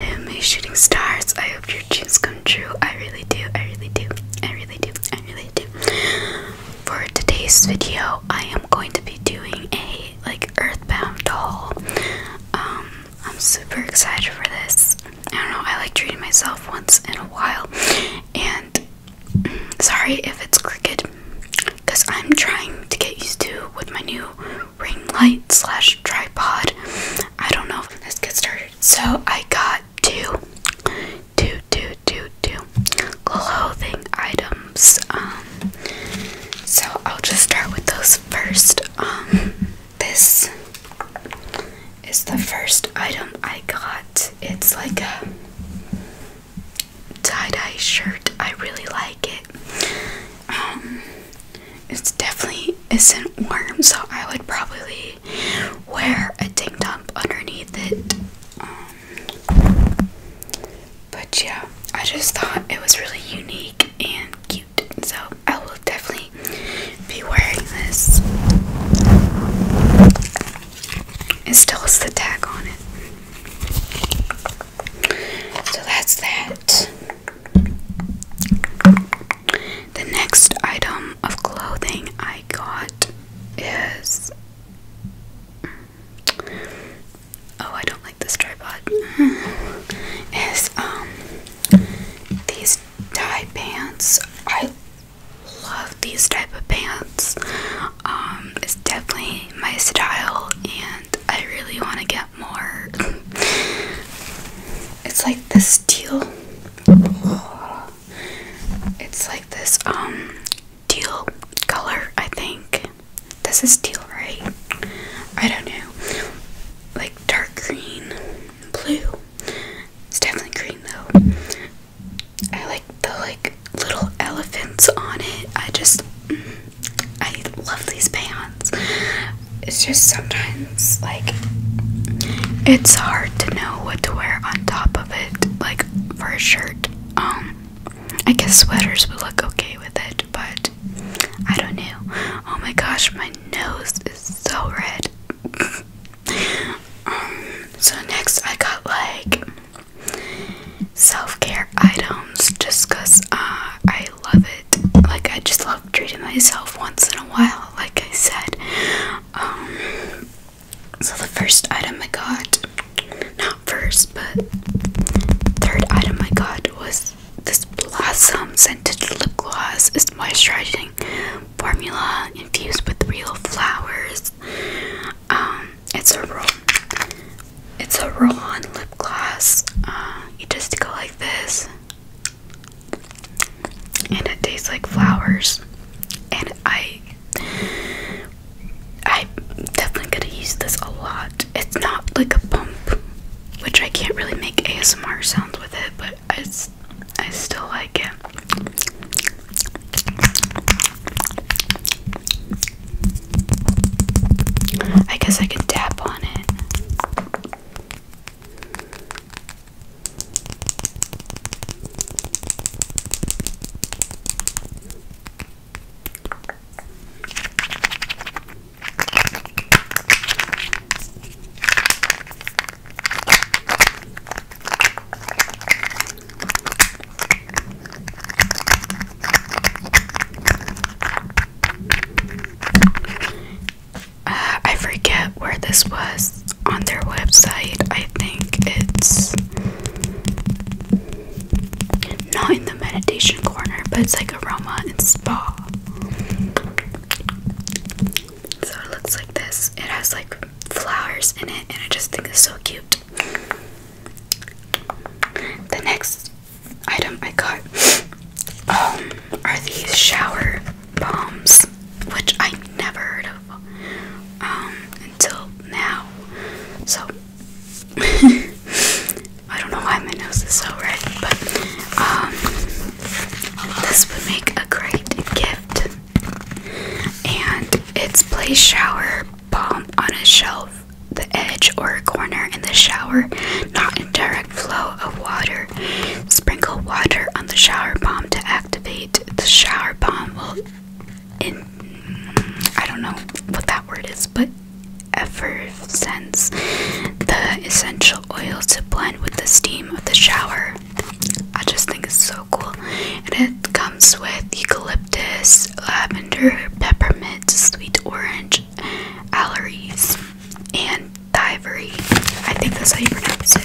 Am shooting stars? I hope your dreams come true. I really do. I really do. I really do. I really do. For today's video, I am going to be doing a like Earthbound haul. Um, I'm super excited for this. I don't know. I like treating myself once in a while, and mm, sorry if it's crooked, cause I'm trying to get used to with my new ring light slash tripod. I don't know. Let's get started. So I got two, two, two, two, two clothing items. Um, so I'll just start with those first. Um, this is the first item I got. It's like a tie-dye shirt. I really like it. Um, it definitely isn't warm, so I would probably wear a tank top underneath it. Um, but yeah, I just thought it was really unique and cute, so I will definitely be wearing this. It still has the tag on it. So that's that. The next item of clothing I got is. Oh, I don't like this tripod. Is um these tie pants. I love these type of pants. Um, it's definitely my style and I really want to get more. It's like this teal. It's like this um teal color, I think. This is teal, right? I don't know. Like dark green, blue. It's definitely green though. I like the like little elephants on it. I just mm. I love these pants. It's just sometimes like it's hard to know what to wear on top of it, like for a shirt. Um, I guess sweaters would look okay with it, but I don't know. Oh my gosh, my nose is so red. um, so next I got like self-care items just because uh, I love it. Like I just love treating myself once in a while, like I said. Um, so the first item I got, not first, but third item I got was this Blossom Scented Lip Gloss. It's moisturizing formula infused with real flowers. Um, it's a roll. It's a roll-on lip gloss. Uh, you just go like this, and it tastes like flowers. And I, i definitely gonna use this a lot. It's not like a pump, which I can't really make ASMR sounds with it, but it's, I still like it. I guess I can tap on it. I forget where this was on their website. I think it's not in the meditation corner, but it's like aroma and spa. So it looks like this. It has like flowers in it, and I just think it's so cute. The next item I got um, are these shower bombs, which I never heard of um, until now. So I don't know why my nose is so red, but um, this would make a great gift and it's place shower bomb on a shelf, the edge or a corner in the shower, not in direct flow of water. Sprinkle water on the shower bomb to activate. The shower bomb will in I don't know what that word is, but ever sense the essential oil to blend with the steam of the shower. I just think it's so cool. And it comes with eucalyptus, lavender, peppermint, sweet orange, alleries, and ivory. I think that's how you pronounce it.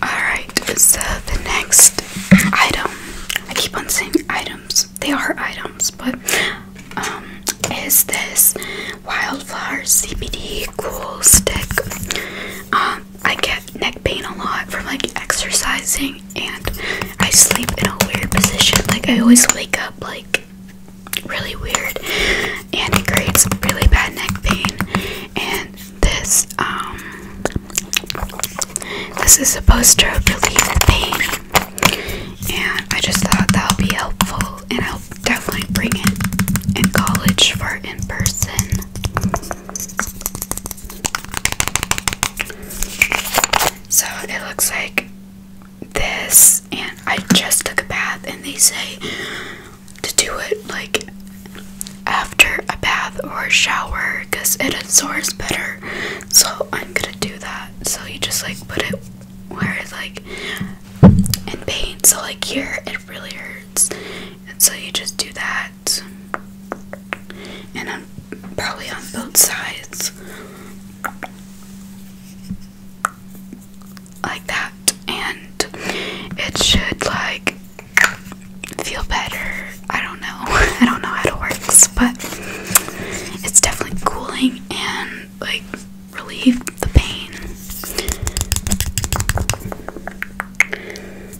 Alright, so the next item, I keep on saying items, they are items, but um, is this Wildflower CBD Cool Stick. Um, I get neck pain a lot from like exercising and I sleep in a weird position. Like I always wake up like really weird and it creates really bad neck pain and this um this is supposed to relieve the pain and I just thought that would be helpful and I'll definitely bring it in college for in person so it looks like this, and I just took a bath, and they say to do it like after a bath or a shower because it absorbs better. So I'm gonna do that. So you just like put it where it's like in pain. So, like here, it really hurts. And so you just do that and I'm probably on both sides. Like that. And it should like feel better. I don't know. I don't know how it works, but it's definitely cooling and like relieve the pain.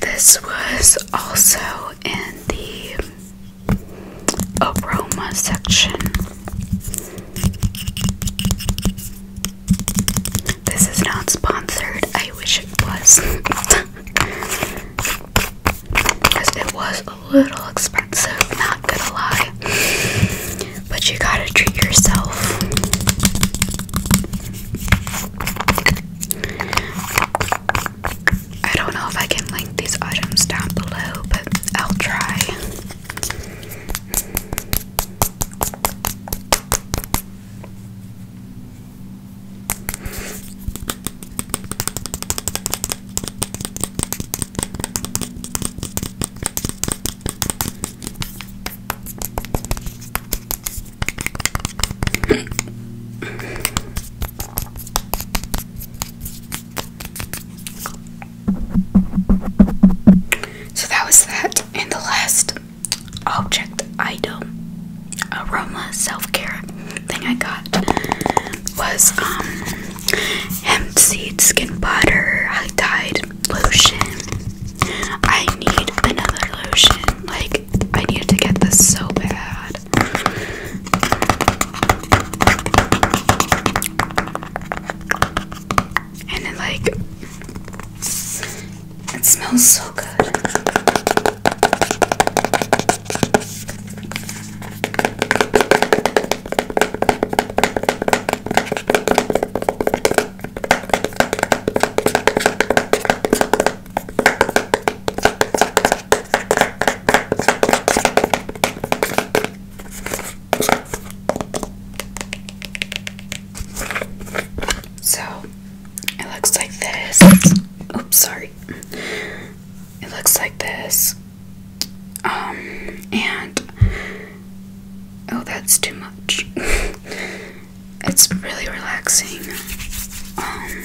This was also in the aroma section. This is not sponsored. I wish it was. Because it was a little expensive, not gonna lie. But you gotta treat yourself. I don't know if I can link these items down below, but I'll try. So that was that, and the last object idol aroma self-care thing I got was um hemp seed skin butter I dyed lotion I need another lotion like I need to get this so bad and it like it smells so good. So it looks like this. Oops, sorry. It looks like this. Um, and oh, that's too much. it's really relaxing. Um,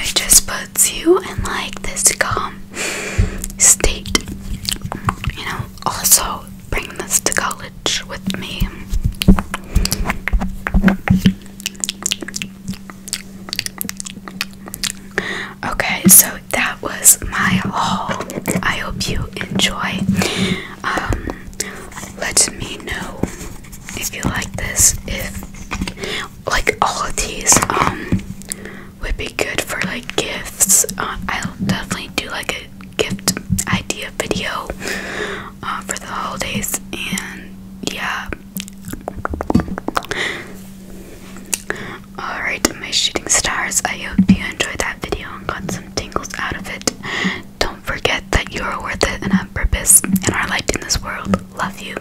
it just puts you in like this calm um, state. You know, also bring this to college with me. Okay, so that was my haul. I hope you enjoy. Um, let me know if you like this. If like all of these, um, would be good for like gifts. Uh, I'll definitely do like a gift idea video uh, for the holidays, and yeah. Alright, my shooting stars, I hope you enjoyed that video and got some tingles out of it. Don't forget that you are worth it and on purpose and are liked in this world. Love you.